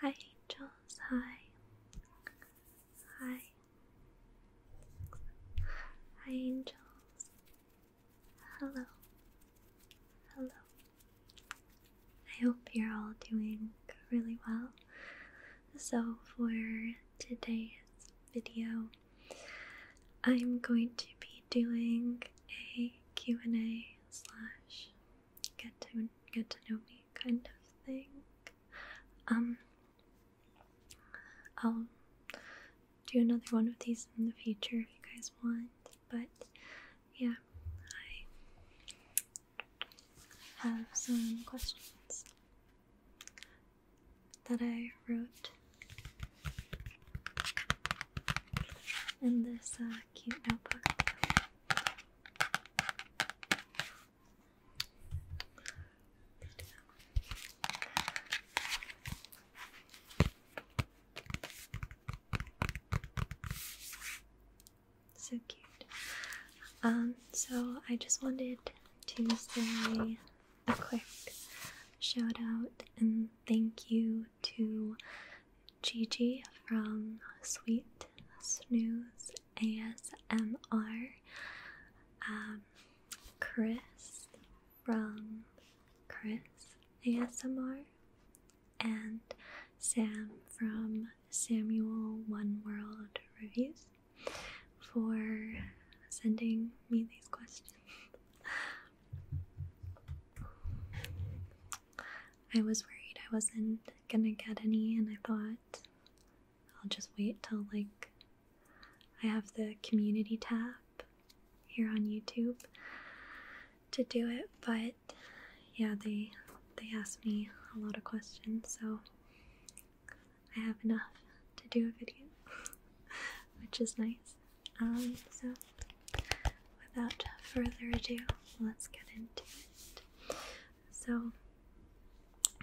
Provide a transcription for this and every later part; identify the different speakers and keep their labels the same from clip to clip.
Speaker 1: Hi angels, hi. Hi. Hi angels. Hello. Hello. I hope you're all doing really well. So, for today's video, I'm going to be doing a Q&A slash get to get to know me kind of thing. Um, I'll do another one of these in the future if you guys want. But yeah, I have some questions that I wrote in this uh, cute notebook. So cute. Um, so I just wanted to say a quick shout out and thank you to Gigi from Sweet Snooze ASMR, um, Chris from Chris ASMR, and Sam from Samuel One World Reviews for sending me these questions. I was worried I wasn't gonna get any, and I thought I'll just wait till like I have the community tab here on YouTube to do it, but yeah, they they asked me a lot of questions, so I have enough to do a video, which is nice. Um, so without further ado, let's get into it. So,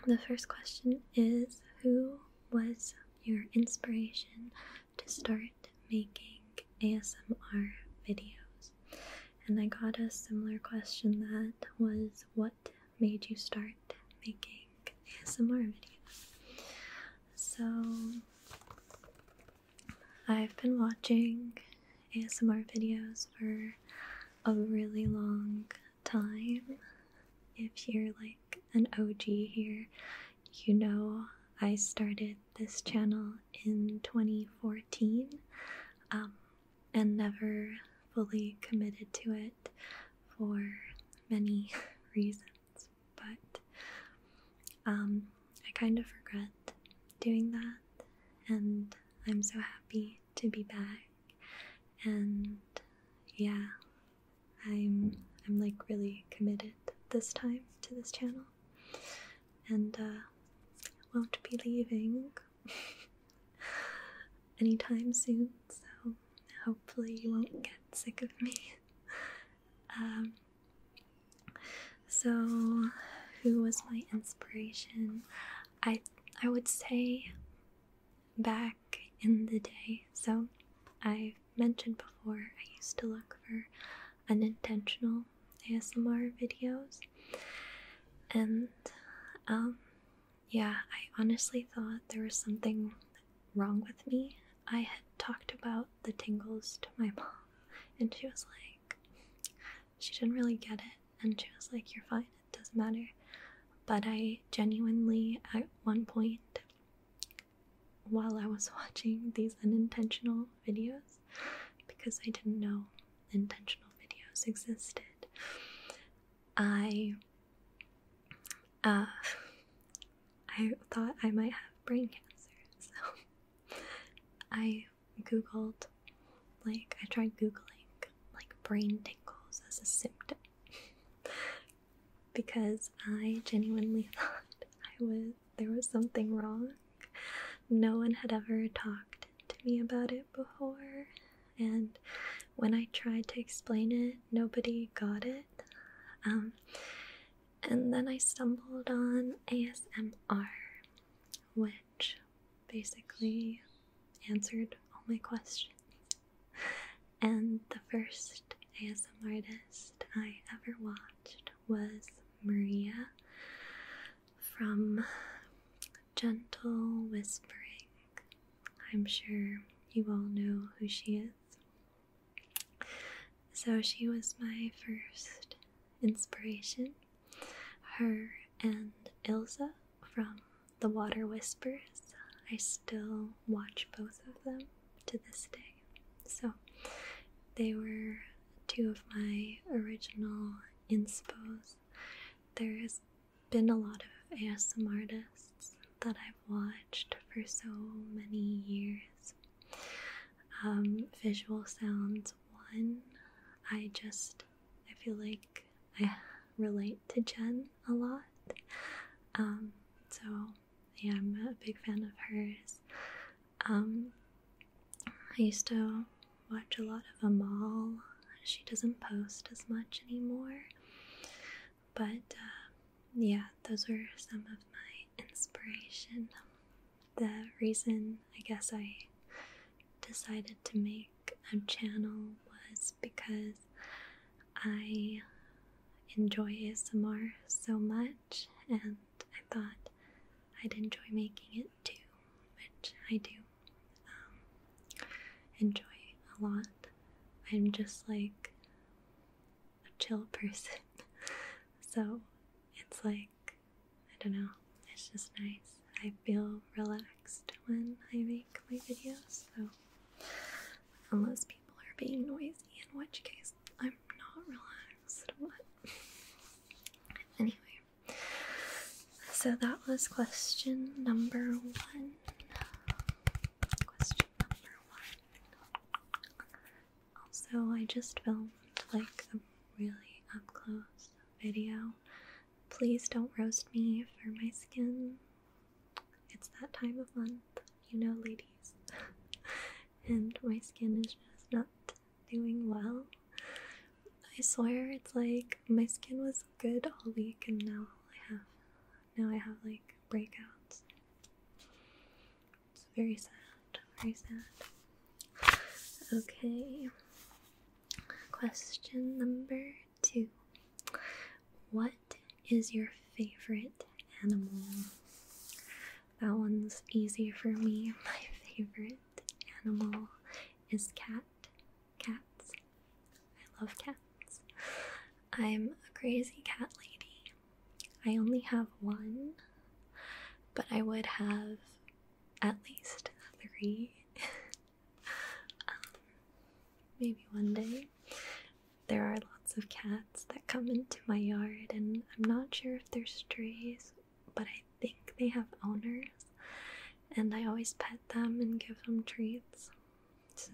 Speaker 1: the first question is Who was your inspiration to start making ASMR videos? And I got a similar question that was What made you start making ASMR videos? So, I've been watching ASMR videos for a really long time. If you're like an OG here, you know I started this channel in 2014 um, and never fully committed to it for many reasons, but um, I kind of regret doing that, and I'm so happy to be back. And yeah, I'm I'm like really committed this time to this channel, and uh, won't be leaving anytime soon. So hopefully you won't get sick of me. um, so, who was my inspiration? I I would say back in the day. So, I mentioned before I used to look for unintentional ASMR videos, and um, yeah, I honestly thought there was something wrong with me. I had talked about the tingles to my mom, and she was like, she didn't really get it and she was like you're fine it doesn't matter but i genuinely at one point while i was watching these unintentional videos because i didn't know intentional videos existed i uh i thought i might have brain cancer so i googled, like, I tried googling, like, brain tingles as a symptom because I genuinely thought I was, there was something wrong. No one had ever talked to me about it before, and when I tried to explain it, nobody got it. Um, and then I stumbled on ASMR, which basically answered all my questions. And the first ASMR artist I ever watched was Maria from Gentle Whispering. I'm sure you all know who she is. So she was my first inspiration. Her and Ilza from The Water Whispers. I still watch both of them to this day. So they were two of my original inspos. There has been a lot of ASM artists that I've watched for so many years. Um, visual sounds one. I just I feel like I relate to Jen a lot. Um, so yeah, I'm a big fan of hers. Um, I used to watch a lot of Amal. She doesn't post as much anymore. But uh, yeah, those were some of my inspiration the reason I guess I decided to make a channel was because I enjoy ASMR so much and I thought I'd enjoy making it too, which I do um, enjoy a lot. I'm just like a chill person, so it's like I don't know, it's just nice. I feel relaxed when I make my videos, so unless people are being noisy, in which case I'm not relaxed. What? anyway, so that was question number one. Question number one. Also, I just filmed like a really up close video. Please don't roast me for my skin. It's that time of month, you know, ladies. and my skin is just not doing well. I swear it's like my skin was good all week and now I have now I have like breakouts. It's very sad, very sad. Okay. Question number two What is your favorite animal? That one's easy for me. My favorite animal is cat. Cats. I love cats. I'm a crazy cat lady. I only have one, but I would have at least three. Um, maybe one day. There are lots of cats that come into my yard, and I'm not sure if they're strays, but I think they have owners. And I always pet them and give them treats. So,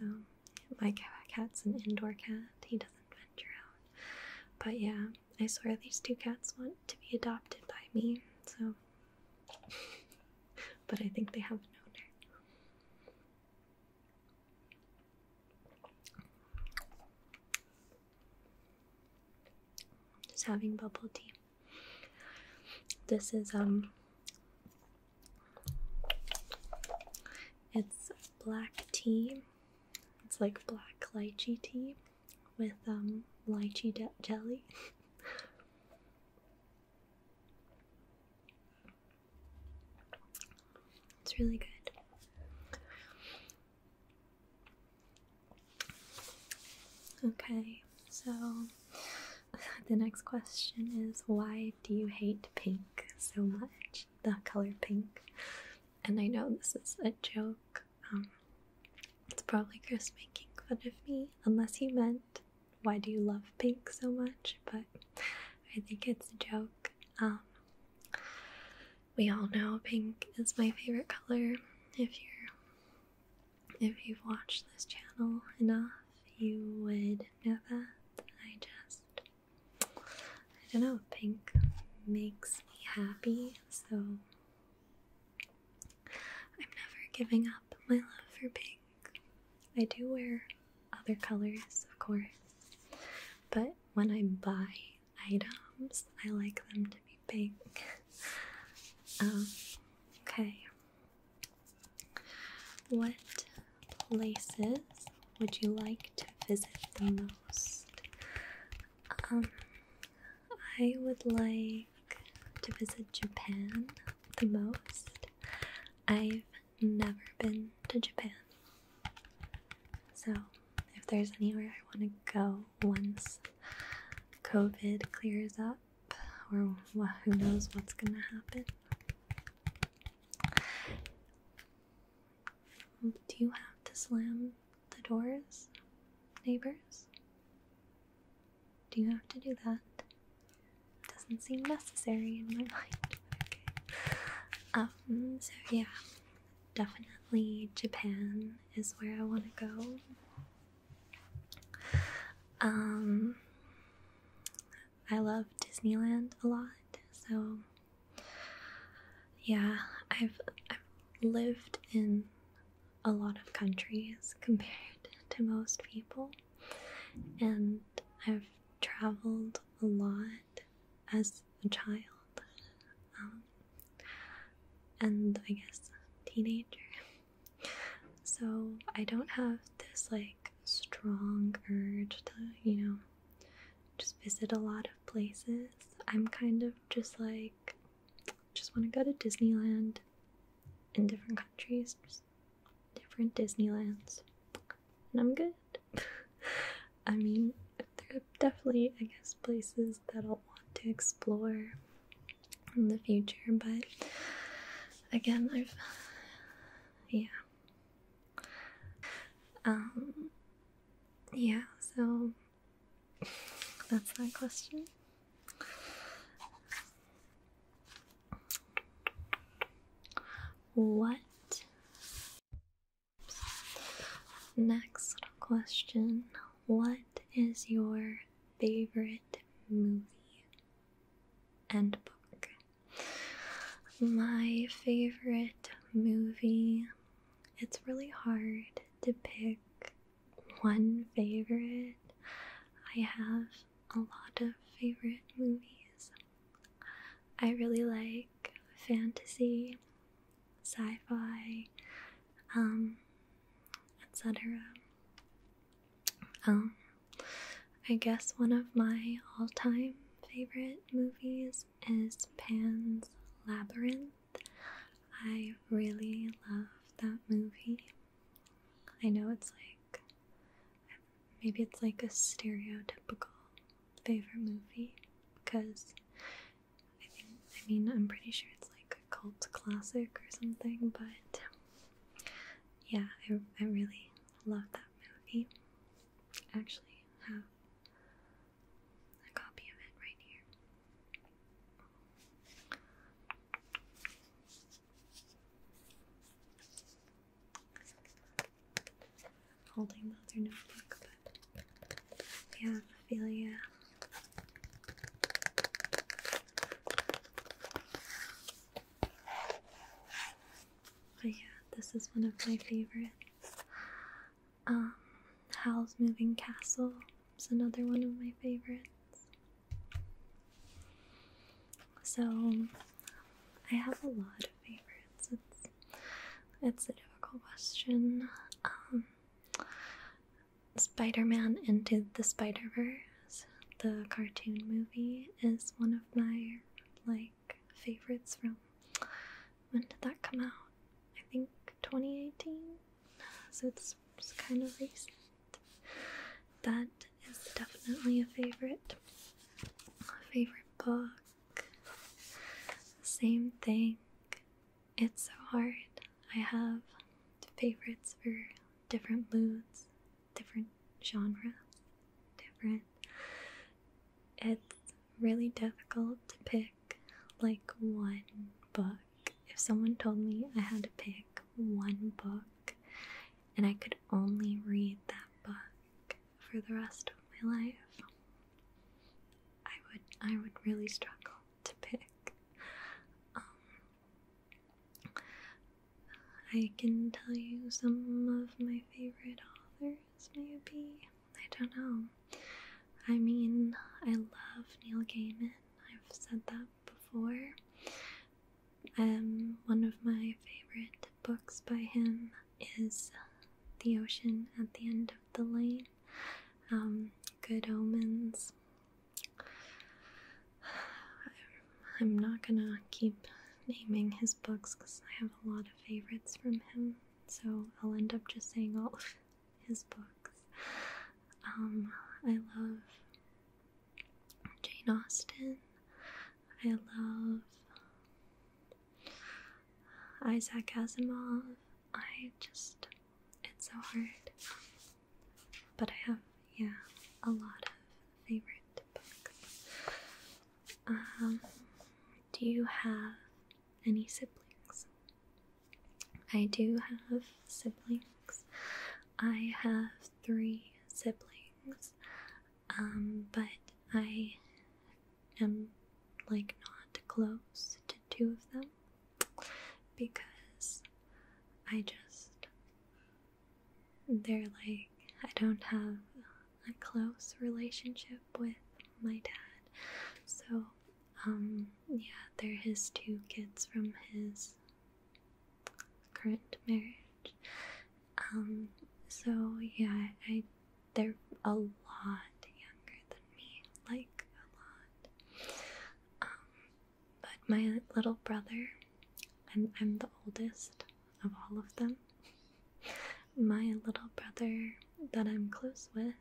Speaker 1: my cat's an indoor cat, he doesn't venture out. But yeah, I swear these two cats want to be adopted by me, so. but I think they have an owner. Just having bubble tea. This is, um, it's black tea. It's like black lychee tea with um, lychee jelly. it's really good. Okay, so the next question is why do you hate pink so much? The color pink. And I know this is a joke, um, it's probably Chris making fun of me, unless he meant, why do you love pink so much? But I think it's a joke. Um, we all know pink is my favorite color. If you're if you've watched this channel enough, you would know that. I just I don't know, pink makes me happy, so I'm never giving up my love for pink. I do wear other colors, of course, but when I buy items, I like them to be pink. Um, okay. What places would you like to visit the most? Um, I would like to visit Japan the most. I've never been to Japan. So, if there's anywhere I want to go once COVID clears up, or who knows what's gonna happen. Do you have to slam the doors, neighbors? Do you have to do that? Doesn't seem necessary in my mind. Okay. Um, so yeah, definitely Japan is where I want to go. Um, I love Disneyland a lot, so yeah, I've, I've lived in a lot of countries compared to most people, and I've traveled a lot as a child um, and I guess teenager. So I don't have this like strong urge to, you know, just visit a lot of places. I'm kind of just like just want to go to Disneyland in different countries, different Disneylands, and I'm good. I mean, there are definitely, I guess, places that I'll want to explore in the future, but again, I've, yeah. Um, yeah, so that's my question. What? Next question What is your favorite movie and book? My favorite movie, it's really hard to pick one favorite, I have a lot of favorite movies. I really like fantasy, sci fi, um, etc. Um, I guess one of my all time favorite movies is Pan's Labyrinth. I really love that movie. I know it's like maybe it's like a stereotypical favorite movie because I think I mean I'm pretty sure it's like a cult classic or something, but yeah, I I really love that movie. actually have a copy of it right here. holding the other notebook, but yeah, Ophelia. But yeah, this is one of my favorites. Um, Howl's Moving Castle is another one of my favorites. So I have a lot of favorites. It's it's a difficult question. Um, Spider-Man into the Spider-Verse, the cartoon movie, is one of my like favorites from when did that come out? I think 2018. So it's, it's kind of recent. That is definitely a favorite. favorite book. Same thing. It's so hard. I have favorites for different moods, different genres, different. It's really difficult to pick like one book. If someone told me I had to pick one book and I could only read that book for the rest of my life, I would I would really struggle to pick. Um, I can tell you some of my favorite authors, maybe. I don't know. I mean, I love Neil Gaiman. I've said that before. Um, one of my favorite books by him is The Ocean at the End of the Lane. Um, Good Omens. I'm not gonna keep naming his books because I have a lot of favorites from him, so I'll end up just saying all his books. Um, I love Jane Austen. I love um, Isaac Asimov. I just, it's so hard. But I have, yeah, a lot of favorite books. Um, do you have any siblings. I do have siblings. I have three siblings, um, but I am like not close to two of them because I just they're like I don't have a close relationship with my dad, so um, yeah, they're his two kids from his current marriage. Um, so yeah, I they're a lot younger than me, like a lot. Um, but my little brother, and I'm the oldest of all of them. My little brother that I'm close with,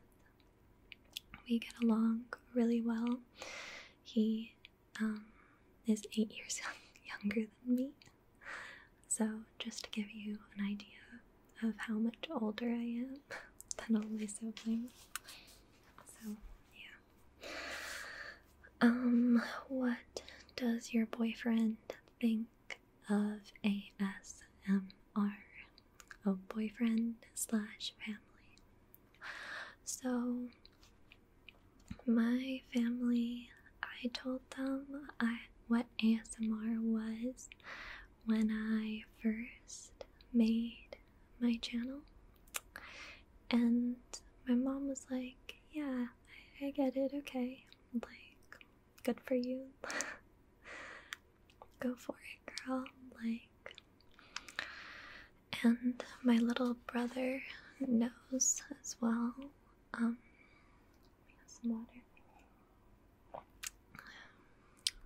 Speaker 1: we get along really well. He um, is eight years younger than me. So, just to give you an idea of how much older I am than all my siblings. So, yeah. Um, what does your boyfriend think of ASMR? A boyfriend slash family. So, my family, I told them I, what ASMR was when I first made my channel. And my mom was like, Yeah, I get it, okay. Like, good for you. go for it, girl. Like, and my little brother knows as well. Um, we have some water.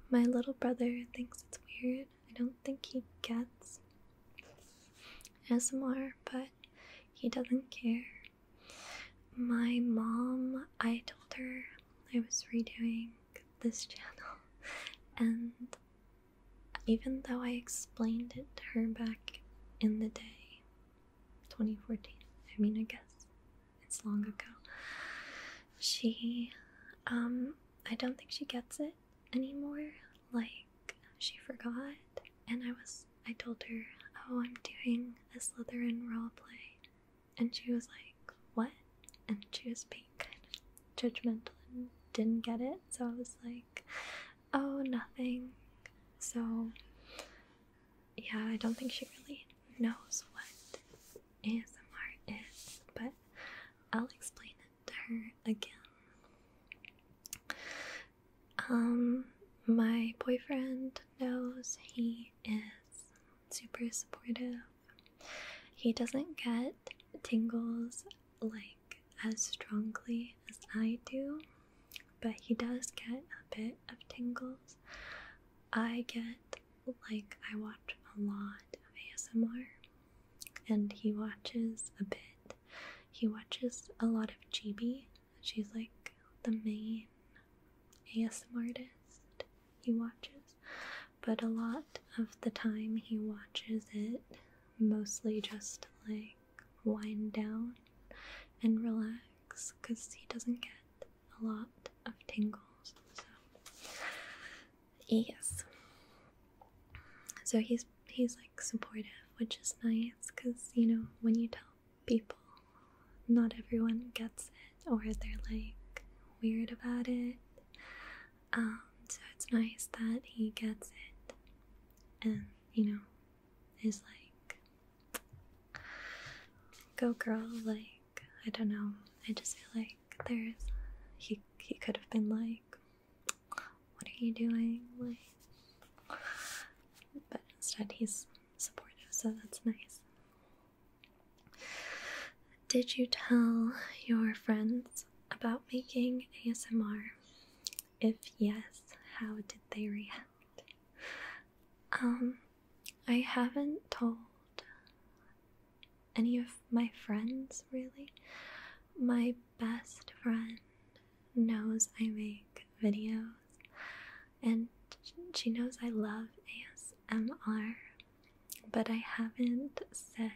Speaker 1: My little brother thinks it's weird. I don't think he gets ASMR, but he doesn't care. My mom, I told her I was redoing this channel, and even though I explained it to her back in the day, 2014, I mean, I guess it's long ago, she, um, I don't think she gets it anymore. Like, she forgot, and I was, I told her, oh, I'm doing a Slytherin play. And she was like, What? And she was being judgmental and didn't get it. So I was like, Oh, nothing. So, yeah, I don't think she really knows what ASMR is, but I'll explain it to her again. Um, my boyfriend knows he is super supportive he doesn't get tingles like as strongly as I do, but he does get a bit of tingles. I get like I watch a lot of ASMR and he watches a bit. He watches a lot of Chibi. She's like the main ASMR artist he watches, but a lot of the time he watches it mostly just like wind down and relax because he doesn't get a lot of tingles. So, yes. So he's he's like supportive, which is nice because you know when you tell people, not everyone gets or they're like weird about it. Um, so it's nice that he gets it and, you know, is like, go girl, like, I don't know. I just feel like there's, he, he could have been like, what are you doing? Like, but instead he's supportive, so that's nice. Did you tell your friends about making ASMR? If yes, how did they react? Um, I haven't told any of my friends really. My best friend knows I make videos and she knows I love ASMR, but I haven't said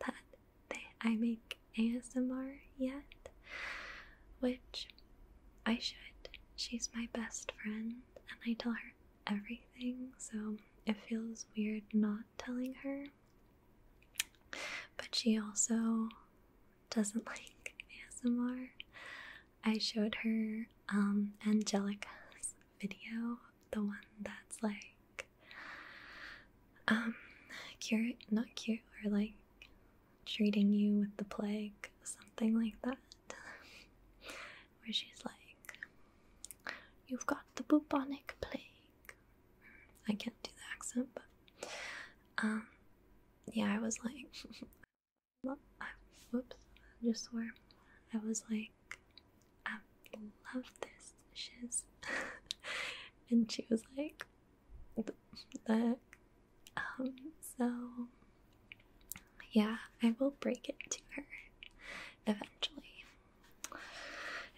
Speaker 1: that I make ASMR yet, which I should. She's my best friend, and I tell her everything, so it feels weird not telling her. But she also doesn't like ASMR. I showed her um, Angelica's video, the one that's like um cure not cure or like treating you with the plague, something like that. Where she's like, You've got the bubonic plague. I can't do the accent, but um yeah, I was like I, whoops, I just swore. I was like I love this and she was like, the um, so yeah, I will break it to her eventually.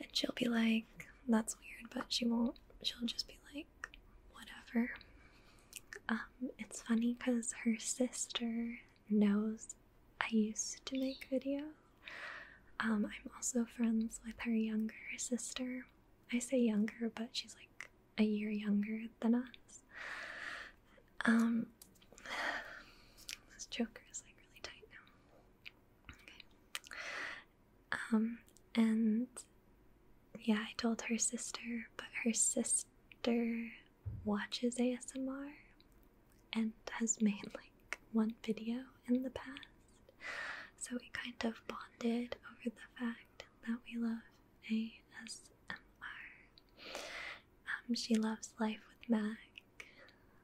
Speaker 1: And she'll be like, that's weird, but she won't. She'll just be like, whatever. Um, it's funny because her sister knows I used to make videos. Um, I'm also friends with her younger sister. I say younger, but she's like a year younger than us. Um, this choker is like really tight Um, and yeah, I told her sister, but her sister watches ASMR and has made like one video in the past. So we kind of bonded over the fact that we love ASMR. Um, she loves Life with Mac.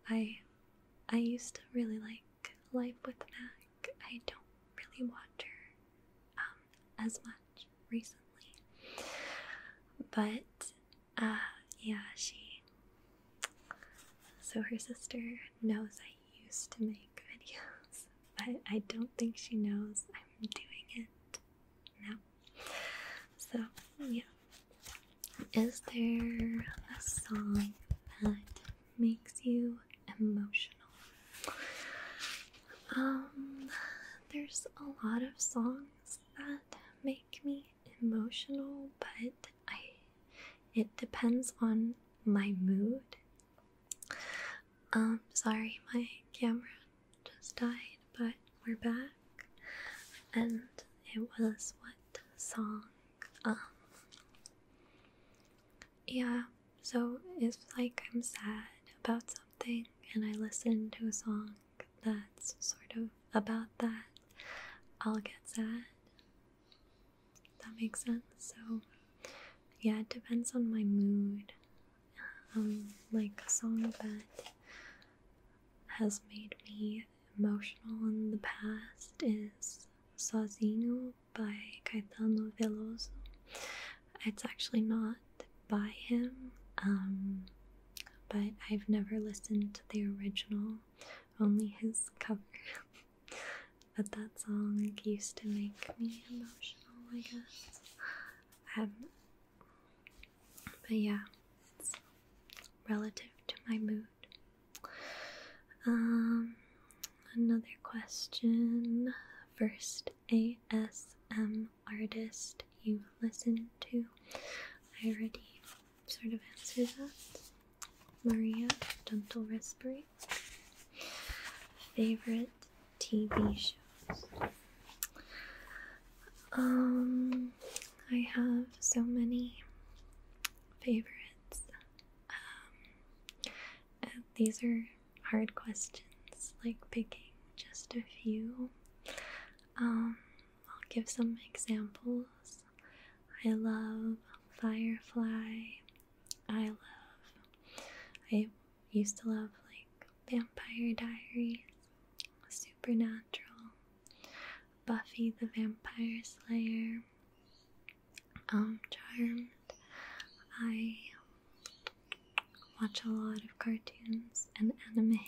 Speaker 1: I I used to really like Life with Mac. I don't really watch her um, as much recently, but Ah, yeah, she. So her sister knows I used to make videos, but I don't think she knows I'm doing it now. So, yeah. Is there a song that makes you emotional? Um, there's a lot of songs that make me emotional, but I it depends on my mood. Um sorry my camera just died, but we're back. And it was what song? Um yeah, so it's like I'm sad about something and I listen to a song that's sort of about that, I'll get sad. That makes sense. So, yeah, it depends on my mood. Um, like a song that has made me emotional in the past is Sozinho by Caetano Veloso. It's actually not by him. Um, but I've never listened to the original, only his cover. but that song used to make me emotional, I guess. Um, but yeah, it's relative to my mood. Um, another question. First ASM artist you listen to? I already sort of answer that. Maria, Dental Respirate. Favorite TV shows. Um, I have so many favorites. Um, these are hard questions, like picking just a few. Um, I'll give some examples. I love Firefly. I love. I used to love like Vampire Diaries, Supernatural, Buffy the Vampire Slayer, um, Charmed. I watch a lot of cartoons and anime.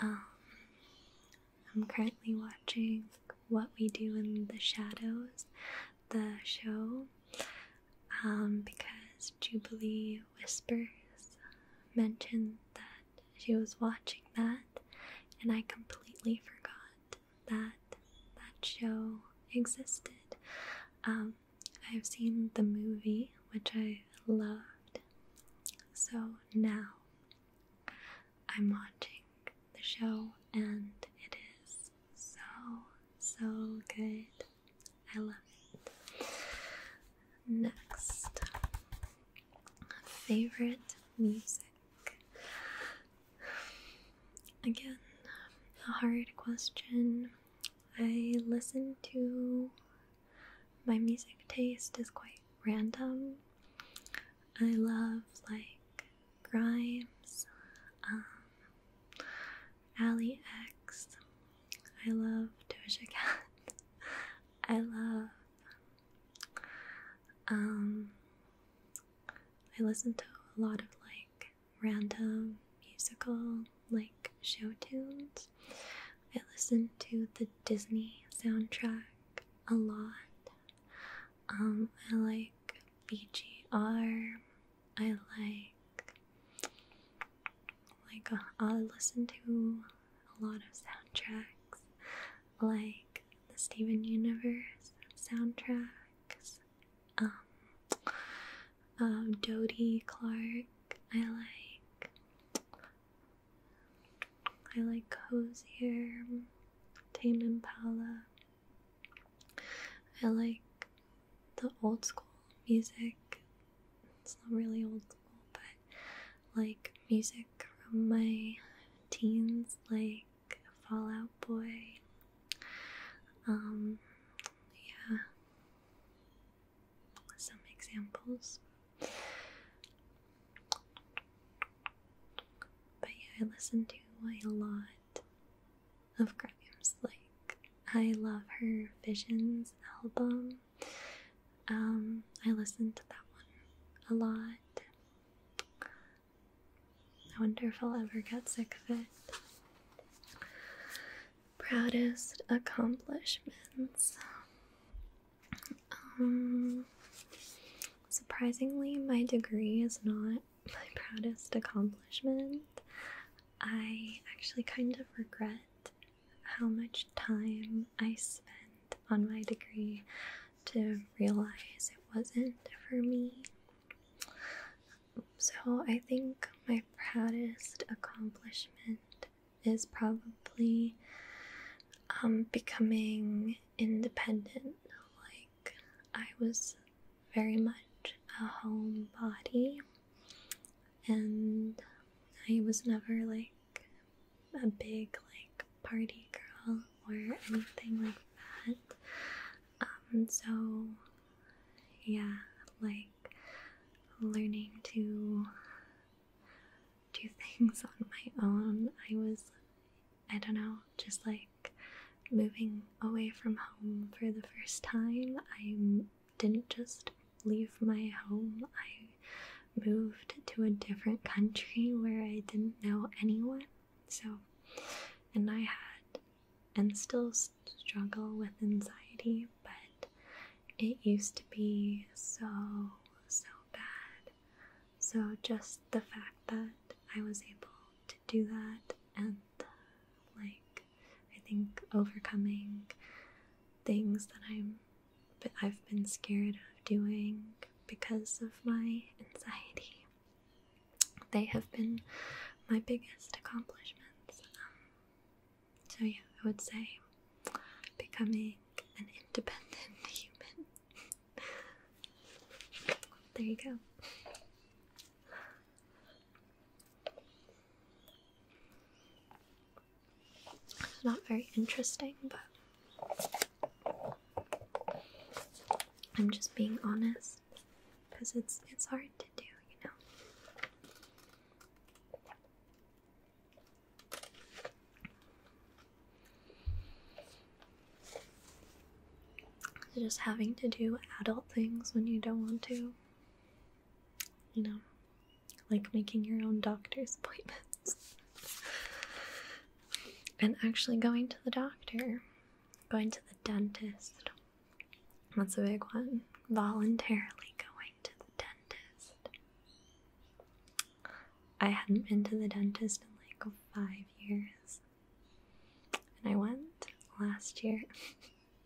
Speaker 1: Um, I'm currently watching What We Do in the Shadows, the show, um, because Jubilee Whispers uh, mentioned that she was watching that, and I completely forgot that that show existed. Um, I've seen the movie, which I loved, so now I'm watching the show and it is so, so good. I love it. Next, favorite music. Again, a hard question. I listen to my music taste is quite random. I love like Grimes, um, Ally X. I love Doja Cat. I love. Um, I listen to a lot of like random musical like show tunes. I listen to the Disney soundtrack a lot. Um, I like BGR. I like like uh, I listen to a lot of soundtracks, like the Steven Universe soundtracks. Um, um, Clark. I like I like Hosier, Tame Impala. I like the old school music. It's not really old school, but like music from my teens, like Fallout Boy. Um, yeah some examples. But yeah, I listen to a lot of Grimes. Like, I love her Visions album. Um, I listen to that one a lot. I wonder if I'll ever get sick of it. Proudest accomplishments. Um, surprisingly, my degree is not my proudest accomplishment. I actually kind of regret how much time I spent on my degree to realize it wasn't for me. So, I think my proudest accomplishment is probably um, becoming independent. Like, I was very much a homebody, and I was never like a big, like, party girl or anything like that. Um, so, yeah, like learning to do things on my own. I was, I don't know, just like moving away from home for the first time. I didn't just leave my home, I moved to a different country where I didn't know anyone. So, and I had and still struggle with anxiety, but it used to be so, so bad. So, just the fact that I was able to do that and like I think overcoming things that I'm I've been scared of doing because of my anxiety. They have been my biggest accomplishments. Um, so, yeah, I would say becoming an independent human. there you go. not very interesting, but I'm just being honest because it's it's hard to do, you know. Just having to do adult things when you don't want to. You know, like making your own doctor's appointments. and actually going to the doctor, going to the dentist. That's a big one. Voluntarily going to the dentist. I hadn't been to the dentist in like five years. And I went last year.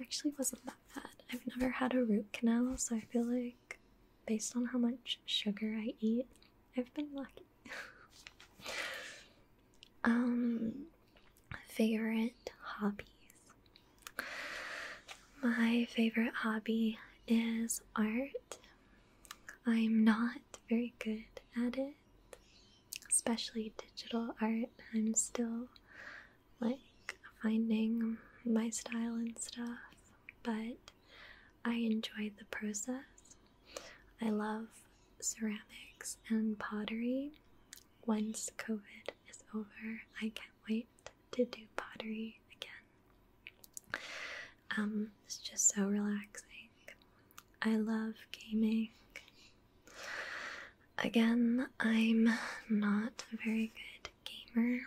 Speaker 1: Actually, wasn't that bad. I've never had a root canal, so I feel like, based on how much sugar I eat, I've been lucky. um, favorite hobbies. My favorite hobby is art. I'm not very good at it, especially digital art. I'm still like finding my style and stuff, but I enjoy the process. I love ceramics and pottery. Once COVID is over, I can wait to do pottery again. Um, it's just so relaxing. I love gaming. Again, I'm not a very good gamer.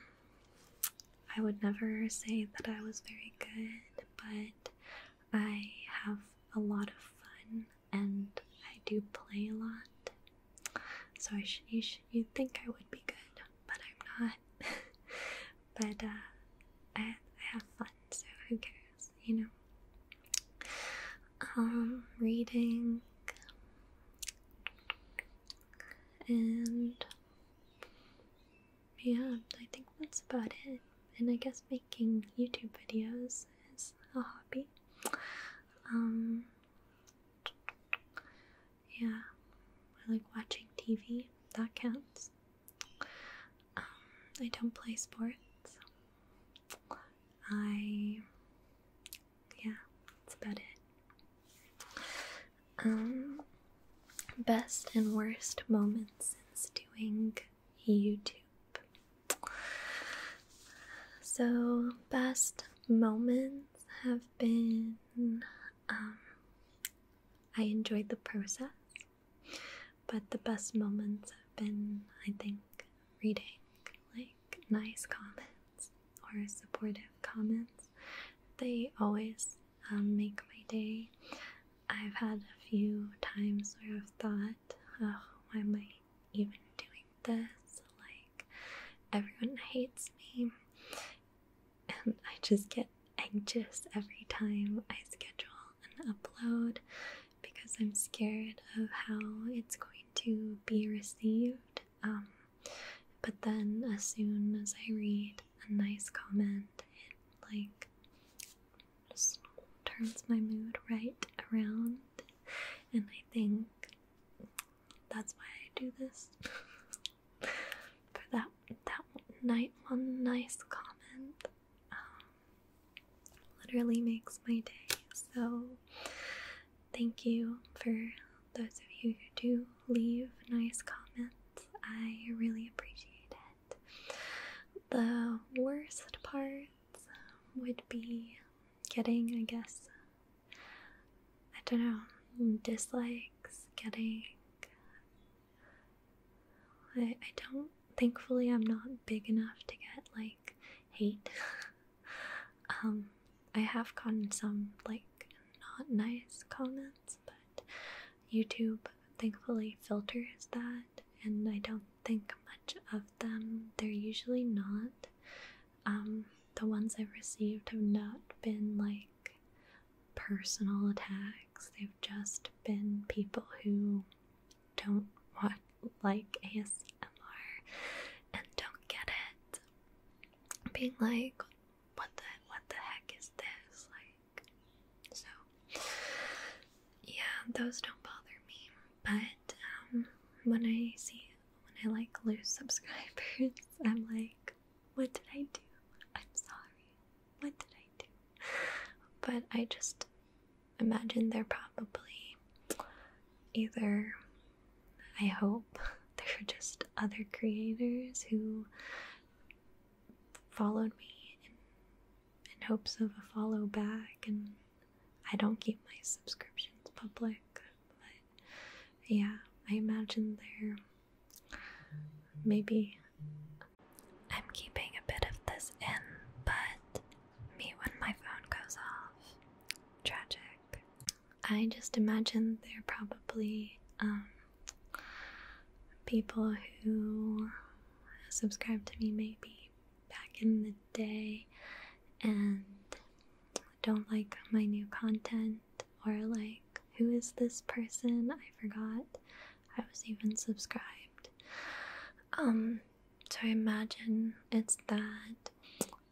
Speaker 1: I would never say that I was very good, but I have a lot of fun and I do play a lot. So I should, you should, you think I would be good, but I'm not. but uh, I have fun, so who cares, you know? Um, reading and yeah, I think that's about it. And I guess making YouTube videos is a hobby. Um, yeah, I like watching TV. That counts. Um, I don't play sports. I. Yeah, that's about it. Um, best and worst moments since doing YouTube. So, best moments have been um, I enjoyed the process, but the best moments have been, I think, reading like nice comments or supportive comments. They always um, make my day. I've had a few times where I've thought, oh, why am I even doing this? Like, everyone hates me and I just get anxious every time I schedule an upload because I'm scared of how it's going to be received. Um, but then, as soon as I read a nice comment, it like just turns my mood right around, and I think that's why I do this. For that that night, one nice comment um, literally makes my day. So thank you for those of you who do leave nice comments. I really appreciate it. The worst part um, would be getting, I guess, I don't know, dislikes, getting. I, I don't, thankfully, I'm not big enough to get like hate. um, I have gotten some like not nice comments, but YouTube thankfully filters that, and I don't think much of them. They're usually not um, the ones I've received have not been like personal attacks. They've just been people who don't want, like ASMR and don't get it. Being like, what the what the heck is this? Like, so yeah, those don't bother me. But um, when I see when I like lose subscribers, I'm like, what did I do? I'm sorry. What did I do? But I just imagine they're probably either, I hope, they're just other creators who followed me in, in hopes of a follow back, and I don't keep my subscriptions public, but yeah, I imagine there maybe I'm keeping a bit of this in, but me when my phone goes off. Tragic. I just imagine there probably um people who subscribed to me maybe back in the day and don't like my new content or like, who is this person? I forgot. I was even subscribed. Um, so I imagine it's that.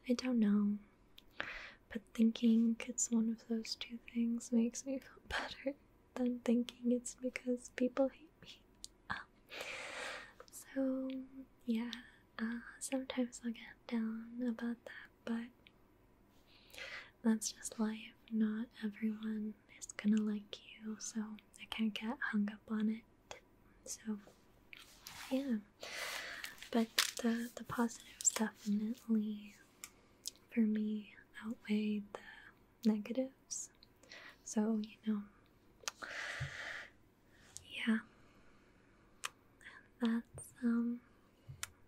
Speaker 1: I don't know. But thinking it's one of those two things makes me feel better than thinking it's because people hate me. So, yeah, uh, sometimes i get down about that, but that's just life. Not everyone is gonna like you, so I can't get hung up on it. So, yeah. But the the positives definitely for me outweigh the negatives. So, you know, yeah. that's um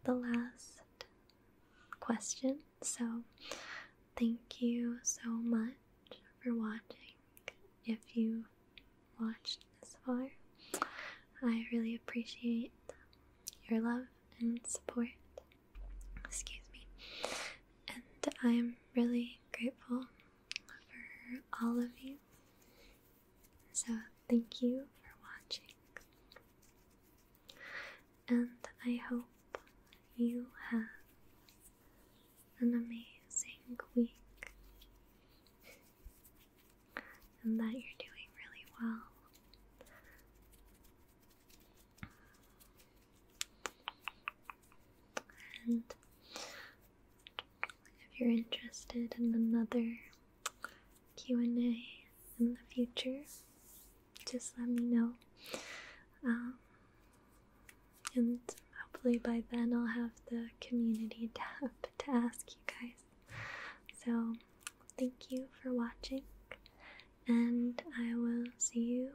Speaker 1: the last question. So, thank you so much for watching. If you watched this far, I really appreciate your love and support. Excuse me. And I am really grateful for all of you. So, thank you for watching, and I hope you have an amazing week and that you're doing really well. And if you're interested in another Q&A in the future, just let me know. Um, and hopefully by then I'll have the community tab to ask you guys. So thank you for watching, and I will see you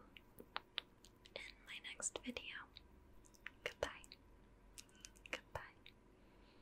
Speaker 1: in my next video. Goodbye. Goodbye.